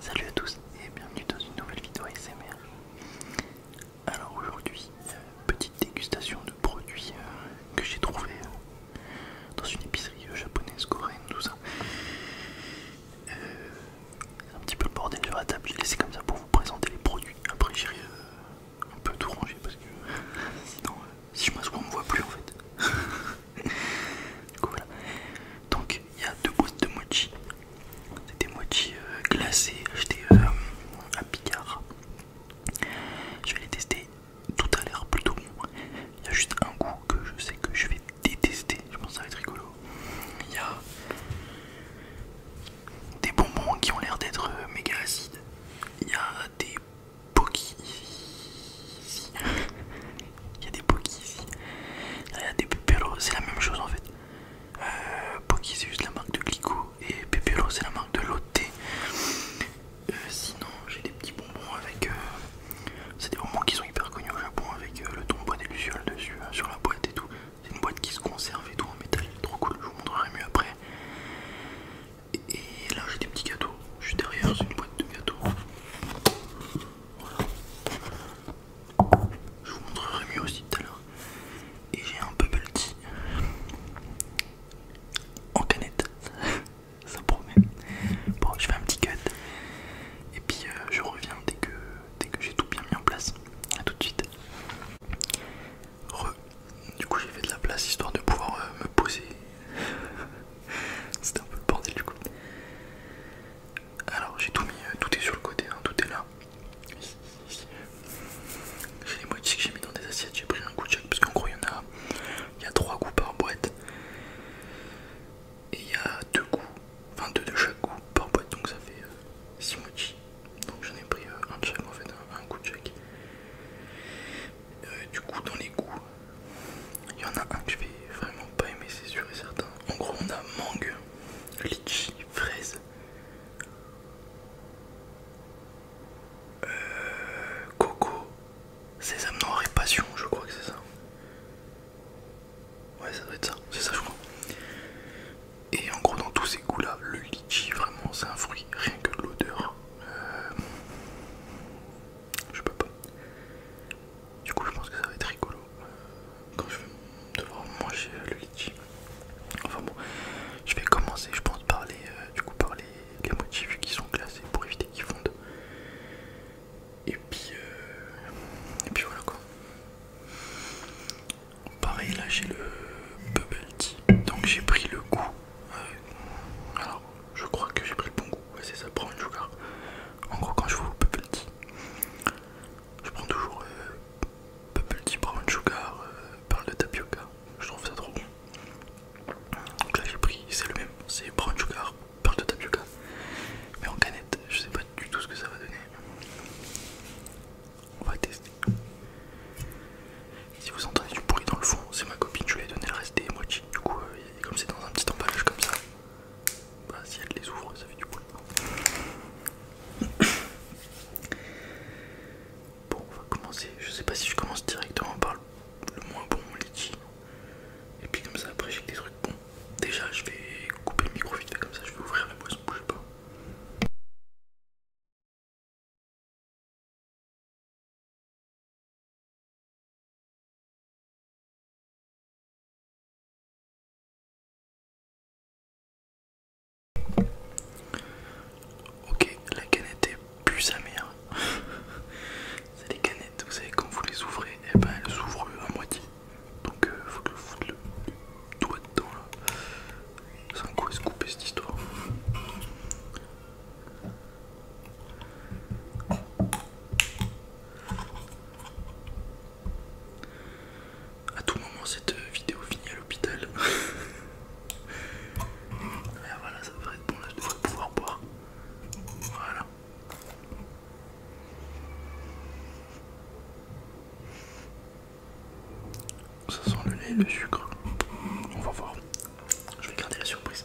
Salut à tous et bienvenue dans une nouvelle vidéo ASMR. Alors aujourd'hui, euh, petite dégustation de produits euh, que j'ai trouvé euh, dans une épicerie japonaise, coréenne, tout ça. C'est un petit peu le bordel de la table, j'ai laissé comme ça pour vous présenter les produits. Après j'irai on peut tout ranger parce que sinon euh, si je m'assois on me voit plus en fait du coup voilà donc il y a deux boîtes de mochi c'est des mochi euh, glacés achetés euh, à Picard je vais les tester tout à l'air plutôt bon il y a juste un goût que je sais que je vais détester je pense que ça va être rigolo il y a des bonbons qui ont l'air d'être méga acides il y a des Poki Il y a des Poki il y a des Pépéro, c'est la même chose en fait. Euh, Poki c'est juste la marque de Glico et Pépéro c'est la marque de Lotte. Euh, sinon, j'ai des petits bonbons avec. Euh, c'est des bonbons qui sont hyper connus au Japon avec euh, le tombeau des Lucioles dessus, hein, sur la boîte et tout. C'est une boîte qui se conserve et tout en métal, trop cool, je vous montrerai mieux après. Et là j'ai des petits gâteaux. Je suis derrière, une boîte de gâteaux. Je vous montrerai mieux aussi tout à l'heure. Et j'ai un bubble tea en canette. Ça promet. Bon, je fais un petit cut. Et puis euh, je reviens dès que, dès que j'ai tout bien mis en place. A tout de suite. Re du coup j'ai fait de la place histoire de pouvoir euh, me poser. C'était un peu le bordel du coup. Alors j'ai tout mis, euh, tout est sur le côté, hein, tout est là. J'ai les moitiés que j'ai mis dans des assiettes, j'ai pris un coup de chaque parce qu'en gros il y en a, il y a trois goûts par boîte. Et il y a deux coups. enfin deux de chaque goût par boîte, donc ça fait euh, six mochis. Donc j'en ai pris un de chaque en fait, un, coup de chaque. Euh, du coup dans les goûts il y en a un que je vais vraiment pas aimer c'est sûr et certain en gros on a mangue litchi fraise euh, coco sésame noir et passion je crois que c'est ça ouais ça doit être ça c'est ça je crois et en gros dans tous ces goûts là le litchi vraiment c'est un fruit rien que l'odeur euh, je peux pas. Du coup, je pense que ça va être rigolo euh, quand je vais devoir manger euh, le litchi. Enfin bon, je vais commencer, je pense, par les, euh, du coup, motifs qui sont classés pour éviter qu'ils fondent. Et puis, et puis voilà quoi. Pareil, là j'ai le bubble tea. Donc j'ai pris le goût je crois que j'ai pris le bon goût. c'est ça, brown sugar. En gros, quand je vous Bubble Tea, je prends toujours euh, Brown Sugar, de tapioca. Je trouve ça trop bon. Donc là, j'ai pris, c'est le même, c'est Brown Sugar, perle de tapioca. Mais en canette, je sais pas du tout ce que ça va donner. On va tester si vous entendez du bruit dans le fond, c'est ma copine, je lui ai donné le reste des mochis, Du coup, euh, comme c'est dans un petit emballage comme ça, bah, si elle les ouvre, ça fait du bruit. Bon, on va commencer. Je sais pas si je commence directement par le moins bon litchi. Et puis comme ça, après, j'ai des trucs bons. Déjà, je vais couper le micro vite fait comme ça, je vais ouvrir la boisson, bougez pas. Ok, la canette est plus amère C'est les canettes, vous savez, quand vous les ouvrez, et eh ben elles s'ouvrent à moitié. Donc il euh, faut que je foute le doigt dedans là. C'est un couper cette histoire. À tout moment, cette vidéo finit à l'hôpital. voilà, ça devrait être bon. Là, je devrais pouvoir boire. Voilà. Ça sent le lait, le sucre. On va voir. Je vais garder la surprise.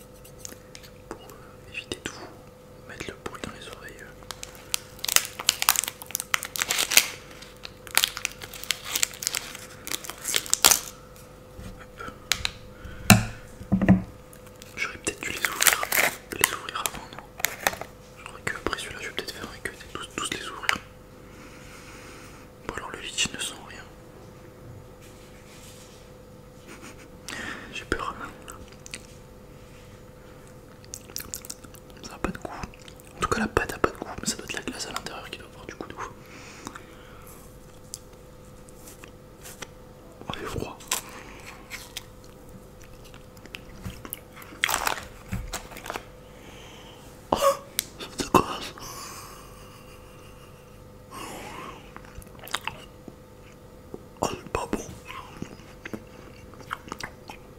pour euh, éviter de vous mettre le bruit dans les oreilles. Euh. J'aurais peut-être dû les ouvrir, les ouvrir avant, non Je crois qu'après celui-là, je vais peut-être faire un Et tous les ouvrir. Bon alors le lit ne sent rien. J'ai peur. Ça n'a pas de goût. En tout cas, la pâte n'a pas de goût, mais ça doit être la glace à l'intérieur qui doit avoir du goût de ouf. Oh, il est froid. Oh, ça la glace. Oh, c'est pas bon.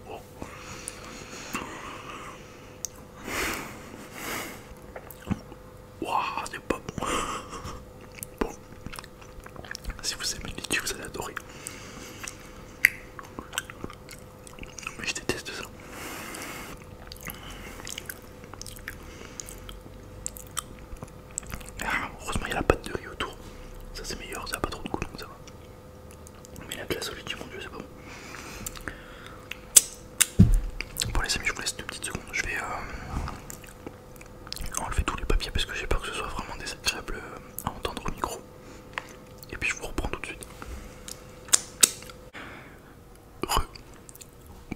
Oh. Waouh, c'est pas bon. Bon, si vous aimez le litchi, vous allez adorer. Mais je déteste ça. Ah, heureusement, il y a la pâte de riz autour. Ça, c'est meilleur, ça a pas trop de goût ça va. Mais la glace au lit, mon dieu, c'est bon. Bon, les amis, je vous laisse deux petites secondes. Je vais euh, enlever tous les papiers parce que j'ai peur que ce soit vraiment désagréable euh, à entendre au micro. Et puis, je vous reprends tout de suite.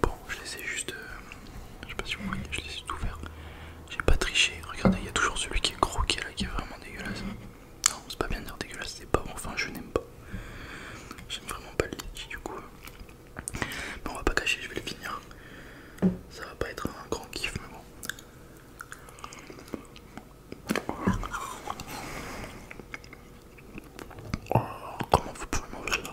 Bon, je les ai juste. Euh, je sais pas si vous voyez, je les ai tout ouverts. J'ai pas triché. Regardez, il y a toujours celui qui est gros qui est là, qui est vraiment dégueulasse. Non, c'est pas bien de dire dégueulasse, c'est pas bon. Enfin, je n'aime pas. J'aime vraiment pas le litchi du coup. Mais on va pas cacher, je vais le finir. Ça va pas être un grand kiff, mais bon. Oh, comment vous pouvez faire là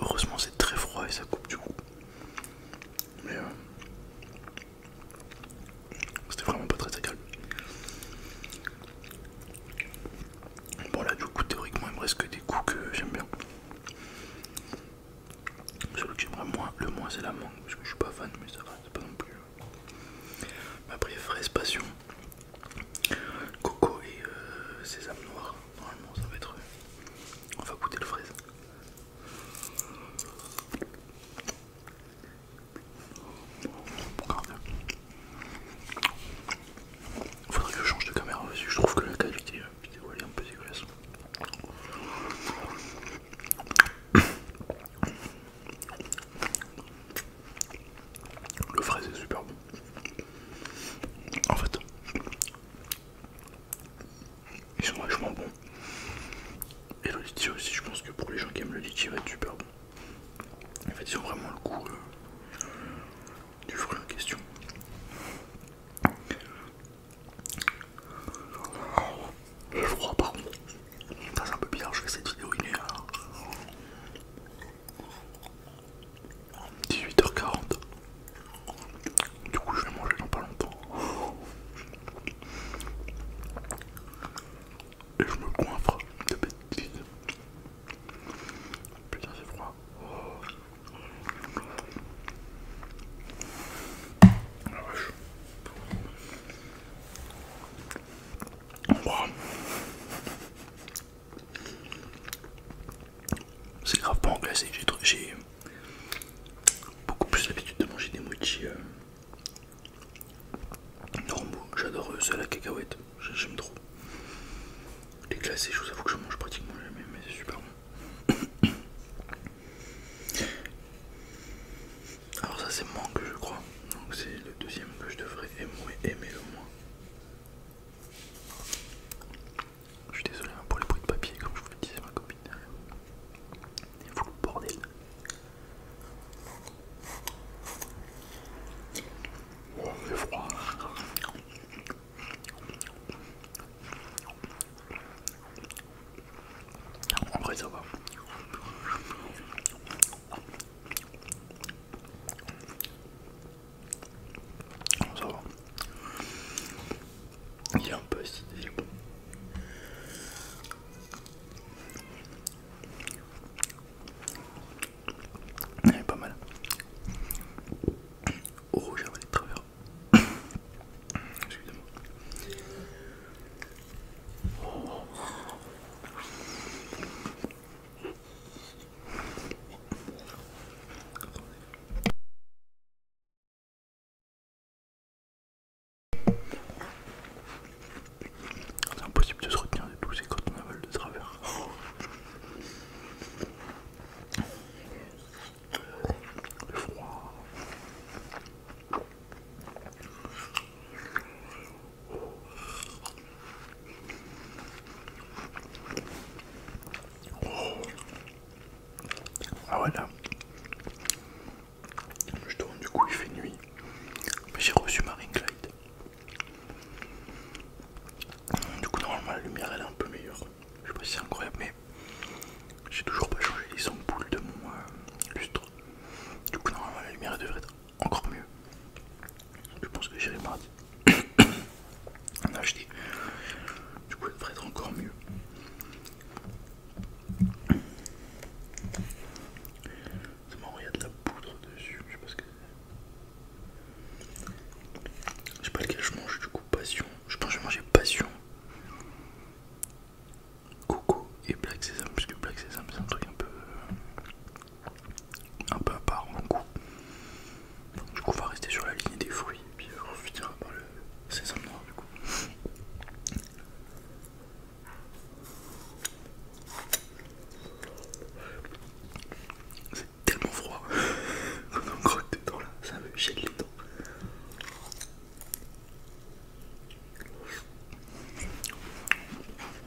Heureusement c'est très froid et ça coupe du coup. Mais euh, c'était vraiment pas très très calme. Bon là du coup théoriquement il me reste que des coups que j'aime bien. Celui que j'aimerais moins, le moins c'est la mangue parce que je suis pas fan mais ça va, c'est pas non plus euh, après, fraise passion, coco et euh, sésame noir. Normalement, ça va être. Euh, on va goûter le fraise. Il Faudrait que je change de caméra parce que je trouve que la qualité euh, vidéo est un peu dégueulasse. Le frais est super bon. En fait, ils sont vachement bons. Et le litchi aussi, je pense que pour les gens qui aiment le litier il va être super bon. En fait, ils ont vraiment le goût euh, du fruit en question. Le froid, pas. Ça c'est un peu bizarre, je fais cette vidéo, il est à euh, 18h40. Du coup je vais manger dans pas longtemps. Et je me coinfre de bêtises. Putain c'est froid. La ah, vache. C'est grave pas en glacé, j'ai beaucoup plus l'habitude de manger des mochi euh, normaux. J'adore euh, ceux à la cacahuète, j'aime trop. Les glacés, je vous avoue que je mange pratiquement jamais, mais c'est super bon. Alors, ça, c'est moi que je crois. Donc, c'est le deuxième que je devrais aimer, le moins. Je suis désolé hein, pour les bruits de papier, comme je vous le disais, ma copine derrière. Il faut le bordel. Oh, il fait froid. En vrai, ça va. Ça va. Il est un peu acidé. Il est pas mal. Oh, j'ai avalé de travers. Excusez-moi. C'est impossible de se retenir de tout, quand on avale de travers. Ah voilà justement du coup il fait nuit. J'ai reçu marine ring light. Du coup normalement la lumière elle est un peu meilleure. Je sais pas si c'est incroyable mais j'ai toujours pas changé les ampoules de mon euh, lustre. Du coup normalement la lumière devrait être encore mieux. Je pense que j'irai mardi en acheté. Du coup, elle devrait être encore mieux. Ça marrant, il de la poudre dessus. Je sais pas ce que c'est. Je sais pas lequel je mange, du coup, passion. Je pense que je vais manger passion. Coco et Black Sesame, parce que Black Sesame c'est un truc un peu euh, un peu à part un goût. du coup, on va rester sur la ligne des fruits et puis on finira par le sésame noir du coup. C'est tellement froid qu'on en des dedans là, ça me chier les dents.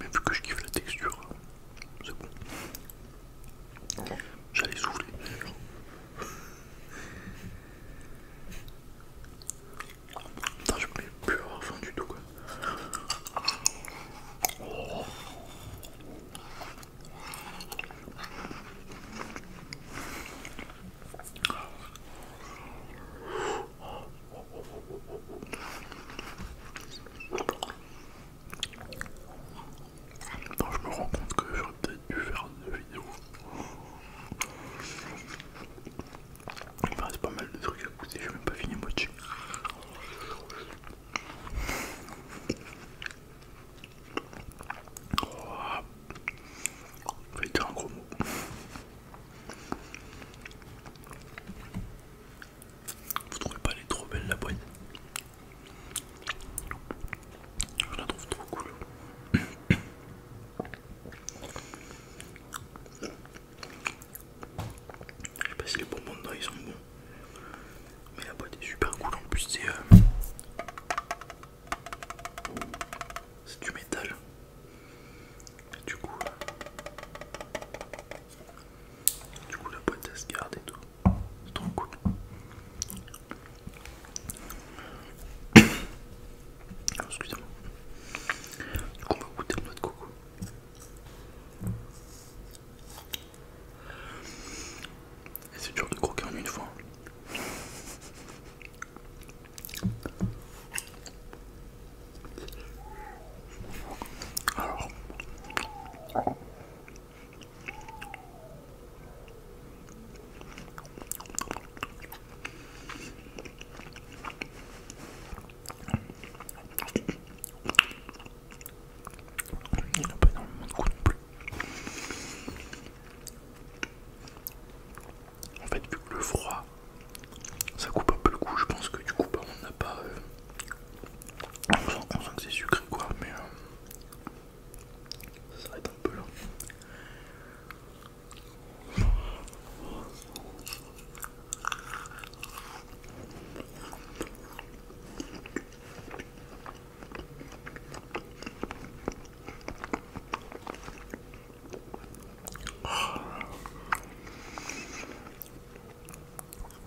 Mais vu que je kiffe la texture, c'est bon. J'allais souffler Non, je peux plus avoir faim du tout quoi. Non, je me rends compte que j'aurais peut-être dû faire une vidéo. Il me reste pas mal de trucs à goûter, j'ai même pas fini mon Oh, je un gros mot. Vous trouvez pas elle est trop belle la boîte Je la trouve trop cool. Je sais pas si les bonbons dedans ils sont bons. Mais la boîte est super cool en plus c'est euh, C'est du métal. du coup du coup, la boîte elle se garde et tout. C'est trop cool. Excusez-moi. Du coup, on va goûter le noix de coco. Et c'est dur de croquer en une fois. Alors. Il n'y a pas énormément de goût non plus. En fait, vu que le froid, ça coupe un peu le goût, je pense que du coup, bah, on n'a pas. Euh, on sent, que c'est sucré quoi, mais euh, ça s'arrête un peu là.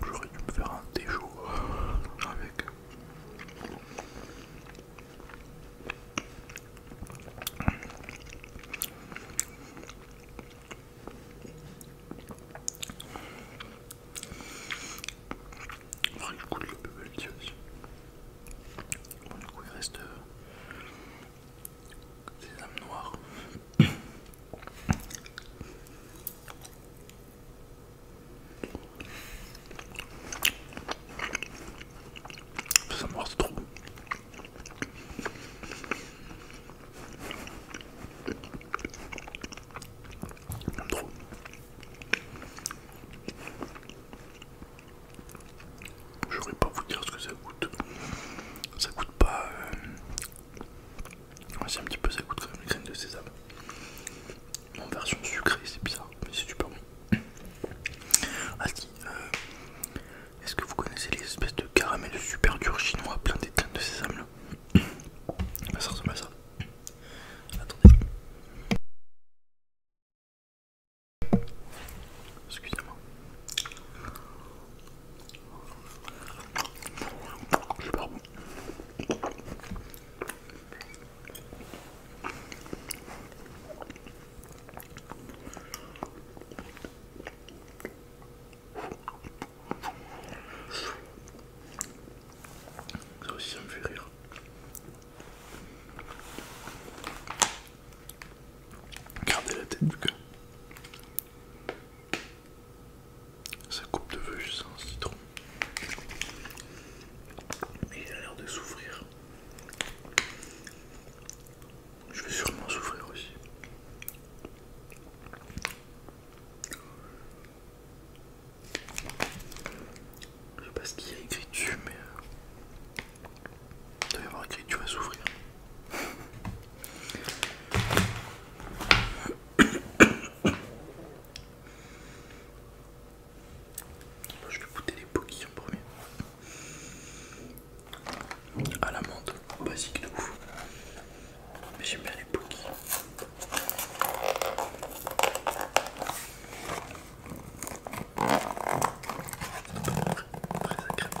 J'aurais dû me faire un déjour avec. Enfin, je coule le le du coup, il reste euh, des âmes noires. Ça mord trop. trop. J'aurais pas vous dire ce que ça coûte. Ça coûte pas euh, c'est un petit peu ça quand même les graines de sésame. En version sucrée, c'est bizarre, mais c'est super bon. Ah euh, est-ce que vous connaissez les espèces de caramel super dur chinois plein graines de sésame là Ça ressemble à ça. Attendez. Excusez-moi. Ça aussi ça me fait rire. Gardez la tête du cœur. Sa coupe de vœux, c'est un citron. il a l'air de souffrir. Je vais sûrement souffrir aussi. Je sais pas ce qu'il y a écrit dessus, mais euh, il doit y avoir écrit tu vas souffrir. Je vais goûter les poquilles en premier. À ah, la menthe, basique de ouf. Mais j'aime bien les poquilles. Très, agréable comme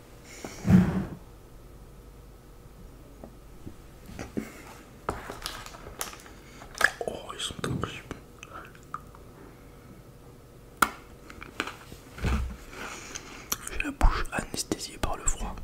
Oh, ils sont J'ai la bouche anesthésiée par le froid.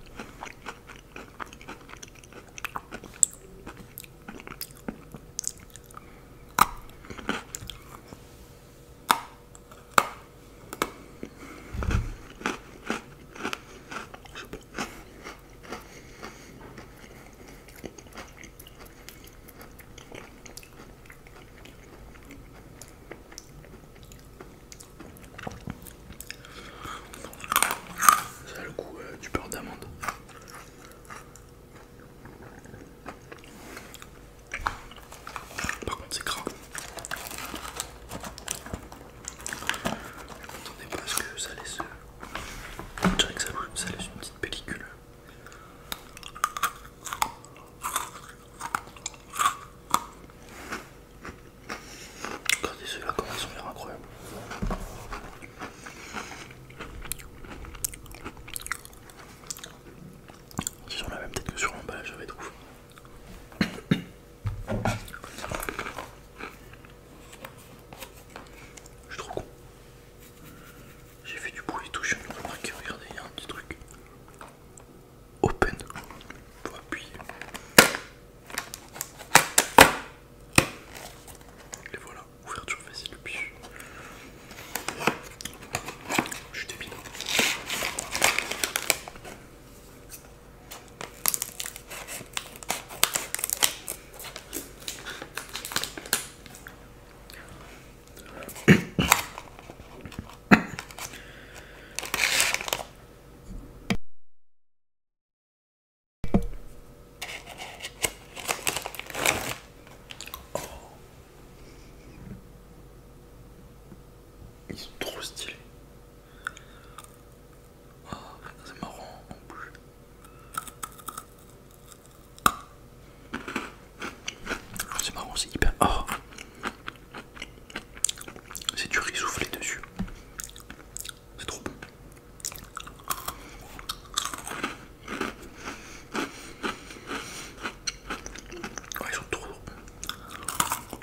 Ça a le goût euh, du beurre d'amande. Par contre, c'est gras. Attendez parce que ça laisse. Je que ça, laisse une petite pellicule. Regardez ceux-là comment ils sont l'air incroyables. Ils ont la même tête que sur l'emballage, j'avais trouvé. Je suis trop con. J'ai fait du bruit et tout, je viens de remarquer, regardez, il y a un petit truc. Open. Pour appuyer. Et voilà, ouverture facile depuis. Je suis débile. Ils sont trop stylés. Oh, c'est marrant en bouche. C'est marrant, c'est hyper. Oh. C'est du riz soufflé dessus. C'est trop bon. ils sont trop bons.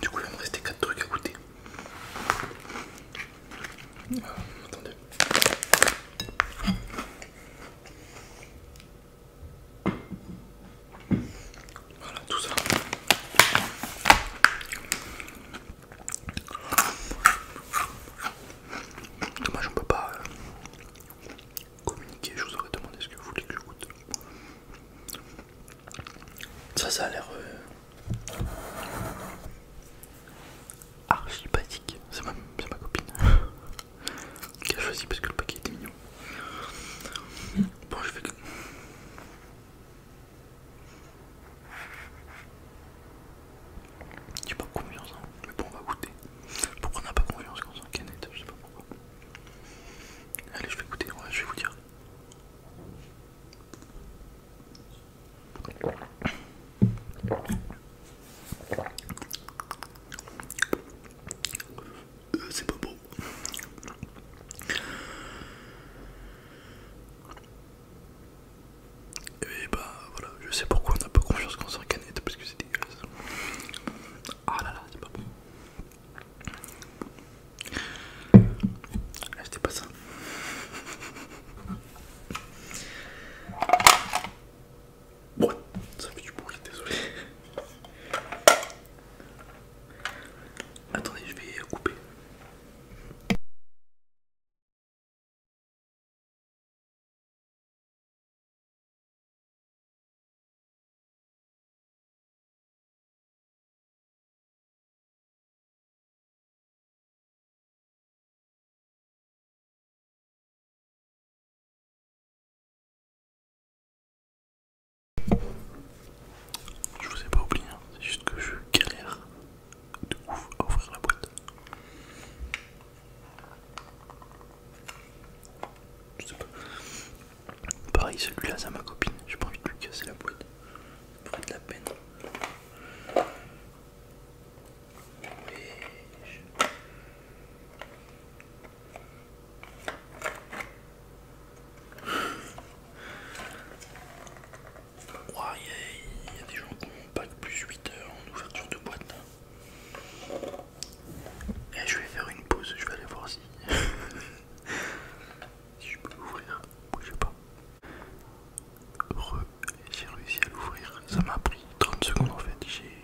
Du coup, il va me rester 4 trucs à goûter. Ah, attendez. Voilà, tout ça. Dommage, on peut pas euh, communiquer. Je vous aurais demandé ce que vous voulez que je goûte. Ça, ça a l'air euh, archipathique, archi basique. C'est ma, copine qui a choisi parce que le paquet était mignon. Bon, je fais que. J'ai pas confiance, hein. mais bon, on va goûter. Pourquoi on n'a pas confiance quand on canette Je sais pas pourquoi. Allez, je vais goûter, je vais vous dire. Euh, c'est pas beau. Et bah voilà, je sais pourquoi on a pas confiance quand on canette parce que c'est dégueulasse. Ah là là, c'est pas bon. Ah, c'était pas ça. Bon, ça fait du bruit, désolé. Attendez, je vais couper. Je vous ai pas oublié, hein. c'est juste que je galère de ouvrir la boîte. Je sais pas. Pareil, celui-là, c'est ma copine. J'ai pas envie de lui casser la boîte. Ça pourrait de la peine. ouais Il y, a des gens qui ont pack plus 8 heures en ouverture de boîte. Et eh, je vais faire une pause, je vais aller voir si Si je peux l'ouvrir, bougez pas. Heureux, j'ai réussi à l'ouvrir. Ça m'a pris 30 secondes en fait.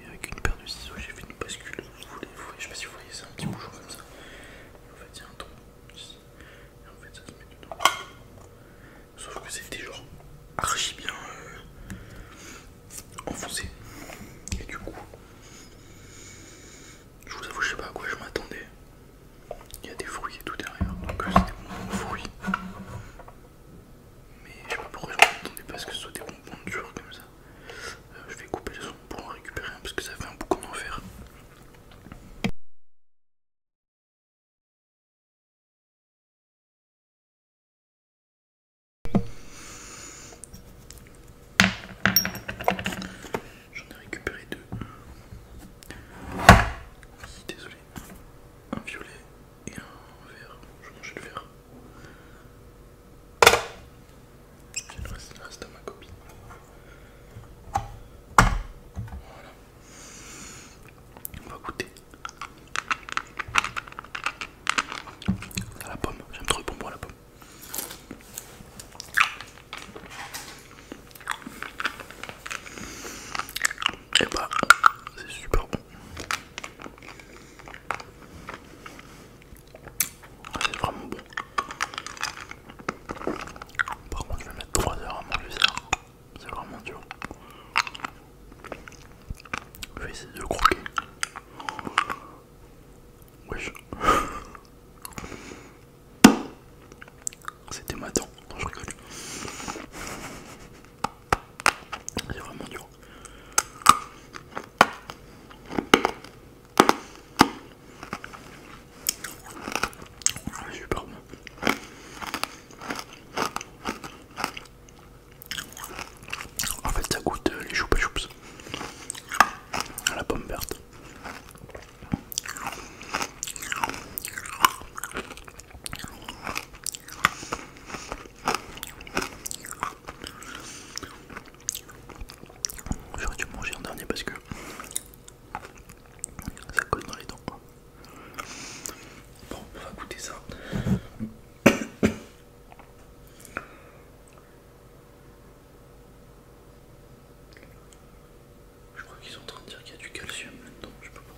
Avec une paire de ciseaux, j'ai fait une bascule. Vous voulez, je sais pas si vous voyez, ça, un petit bouchon comme ça. en fait, il y a un trou. Et en fait, ça se met dedans. Sauf que c'était genre archi bien euh, enfoncé. Et du coup, je vous avoue, je sais pas à quoi je m'attendais. Il y a des fruits et tout derrière, donc euh, c'est des bonbons fruits. Mais je sais pas pourquoi je m'attendais pas à ce que ce soit des bonbons durs comme ça. Euh, je vais couper le son pour en récupérer un parce que ça fait un boucan d'enfer. J'en ai récupéré deux. désolé. Un violet et un vert. Je mangeais le vert. J'ai le reste, reste ma copie, Voilà. On va goûter. À la pomme, j'aime trop le bonbon à la pomme. Et bah, c'est super bon. Ah, c'est vraiment bon. Par contre, je vais mettre 3 heures à manger ça. C'est vraiment dur. Je vais essayer de le croquer. C'était ma dent, non je rigole. C'est vraiment dur. Ah, super bon. En fait ça goûte euh, les les et choups à la pomme verte. J'aurais dû manger en dernier parce que ça colle dans les dents. Bon, on va goûter ça. Je crois qu'ils sont en train de dire qu'il y a du calcium là-dedans, je peux pas.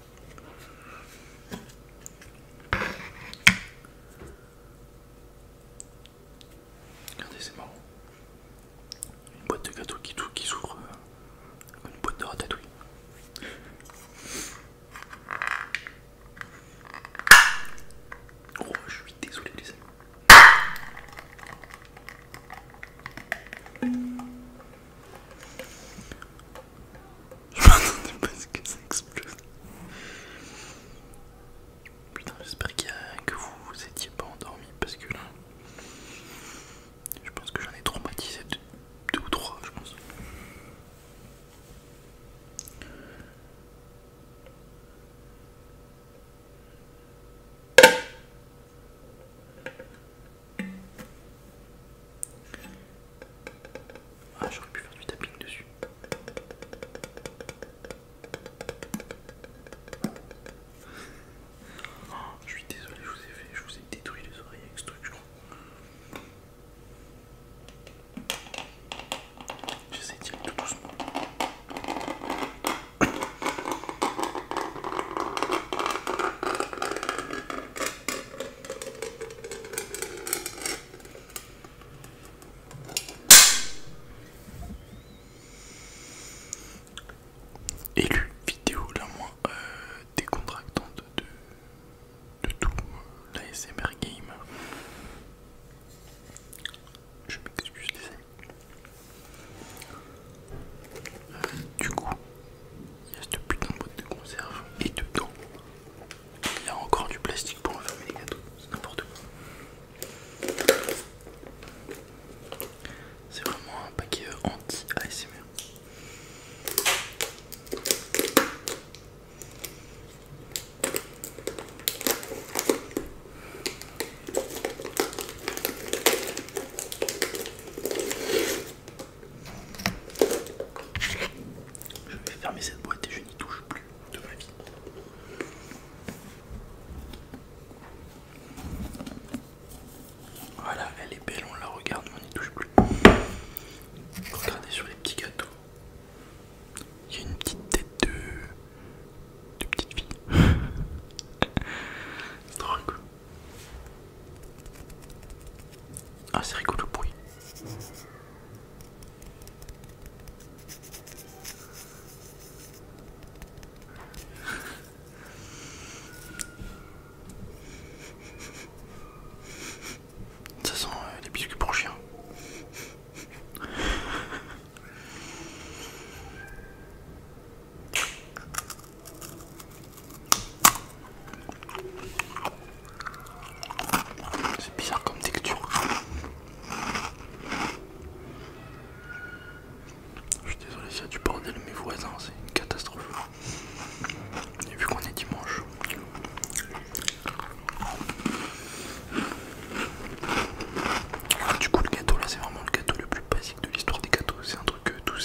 Regardez, c'est marrant. Une boîte de gâteau qui, qui s'ouvre euh, une boîte de ratatouille. Oh, je suis désolé les amis. Je m'attendais pas à ce que ça explose. Putain, j'espère que vous vous étiez pas endormi parce que là, je pense que j'en ai traumatisé deux ou trois, je pense. Ah, j'aurais pu faire du tapping dessus. Ah, je suis désolé, je vous ai fait, je vous ai détruit les oreilles avec ce truc, je crois. J'essaie de tirer tout doucement. Élu vidéo la moins euh, décontractante de, tout euh, l'ASMR Game. Je m'excuse les amis du coup, il y a cette putain de boîte de conserve et dedans, il y a encore du plastique pour enfermer les gâteaux, c'est n'importe quoi. C'est vraiment un paquet euh, anti-ASMR. Je vais fermer cette boîte et je n'y touche plus de ma vie. Voilà, elle est belle, on la regarde, mais on n'y touche plus. Regardez sur les petits gâteaux. Il y a une petite tête de, de petite fille. C'est drôle. Ah, c'est rigolo le bruit. Ça sent des les biscuits pour chien. C'est bizarre comme texture. Je suis désolé c'est du bordel, mes voisins, c'est une catastrophe. vu qu'on est dimanche. Ah, du coup le gâteau là c'est vraiment le gâteau le plus basique de l'histoire des gâteaux. C'est un truc euh, tout.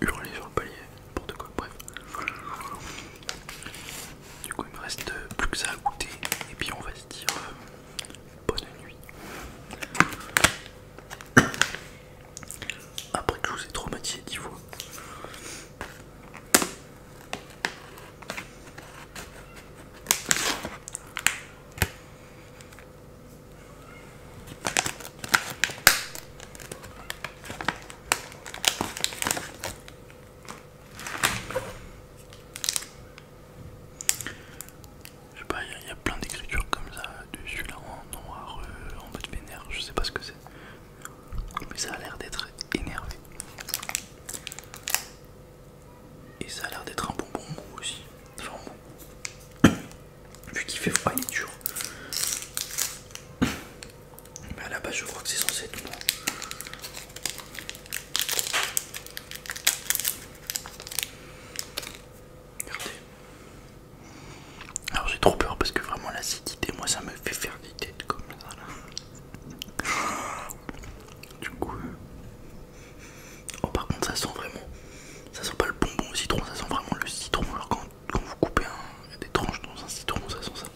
hurler sur le palier, de quoi, bref. Du coup, il me reste euh, plus que ça à goûter, et puis on va se dire euh, bonne nuit. Après que je vous ai traumatisé 10 fois. Je sais pas, il y, a plein d'écritures comme ça dessus là en noir, en euh, mode vénère, je sais pas ce que c'est. Mais ça a l'air d'être énervé. Et ça a l'air d'être un bonbon aussi. Enfin bon, Vu qu'il fait froid, il dur. Mais bah, à la base, je crois que c'est censé être bon. Regardez. Alors j'ai trop peur parce que vraiment l'acidité, moi ça me fait faire des têtes comme ça là. Du coup... Euh, oh par contre ça sent vraiment... Ça sent pas le bonbon au citron, ça sent vraiment le citron quand vous coupez un, des tranches dans un citron, ça sent ça.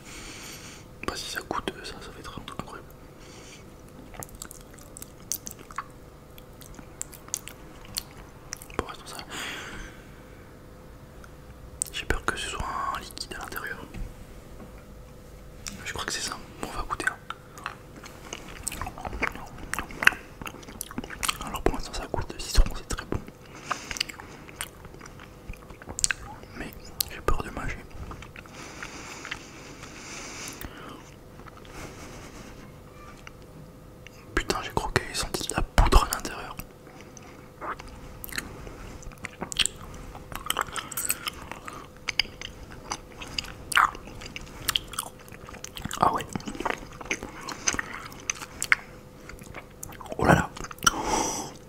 pas si ça coûte, euh, ça, ça va être incroyable. Bon, restons ça. J'ai peur que ce soit un liquide à l'intérieur. Je crois que c'est ça. Bon, on va goûter. Hein. Alors pour l'instant ça goûte de citron, c'est très bon. Mais j'ai peur de manger. Putain, j'ai croqué et senti de la poudre à l'intérieur. Ah ouais. Oh là là.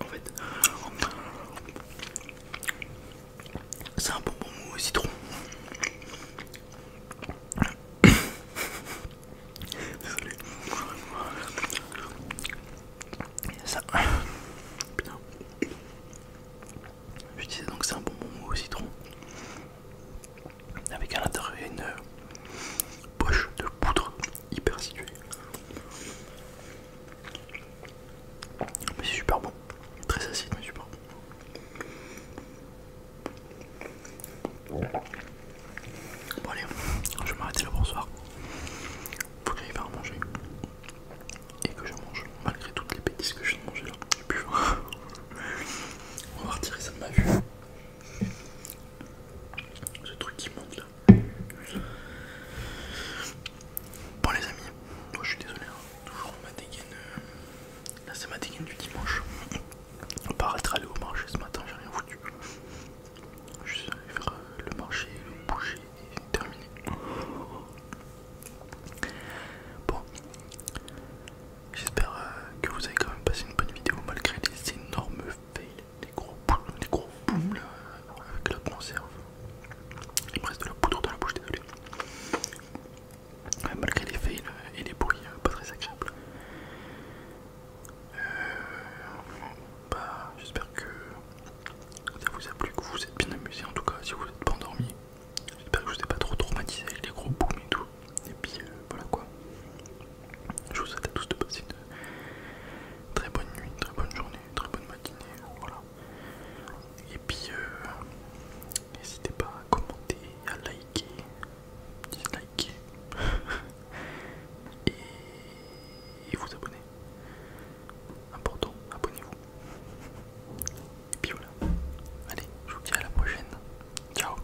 En fait, c'est un bonbon mou au citron. Ça. Je disais donc c'est un bonbon mou au citron. Avec à l'intérieur une euh, poche de poudre hyper située. Mais c'est super bon, très acide, mais super bon. allez, je vais m'arrêter là pour ce soir. Faut que j'aille manger et que je mange malgré toutes les bêtises que je viens de manger là. J'ai On va retirer ça de ma vue. Ce truc qui monte là. Bon les amis, moi je suis désolé, hein. toujours ma dégaine, euh, là c'est ma dégaine du dimanche. On part aller allé au marché ce matin, j'ai rien foutu. Je suis allé faire euh, le marché, le boucher et terminé. Bon, j'espère euh, que vous avez quand même passé une bonne vidéo malgré les énormes fails, les gros boules les gros boum là, avec la conserve. Il me reste de la poudre dans la bouche, désolé. Euh, malgré les fails euh, et les bruits euh, pas très agréables. Bah, j'espère que ça vous a plu, que vous vous êtes bien amusé en tout cas si vous n'êtes pas endormi. J'espère que je vous ai pas trop traumatisé avec les gros boums et tout. Et puis voilà quoi. Je vous souhaite à tous de passer une très bonne nuit, très bonne journée, très bonne matinée. Voilà. Et puis, euh, n'hésitez pas à commenter, à liker, disliker et, et vous abonner. Important, abonnez-vous. Et puis voilà. Allez, je vous dis à la prochaine. Ciao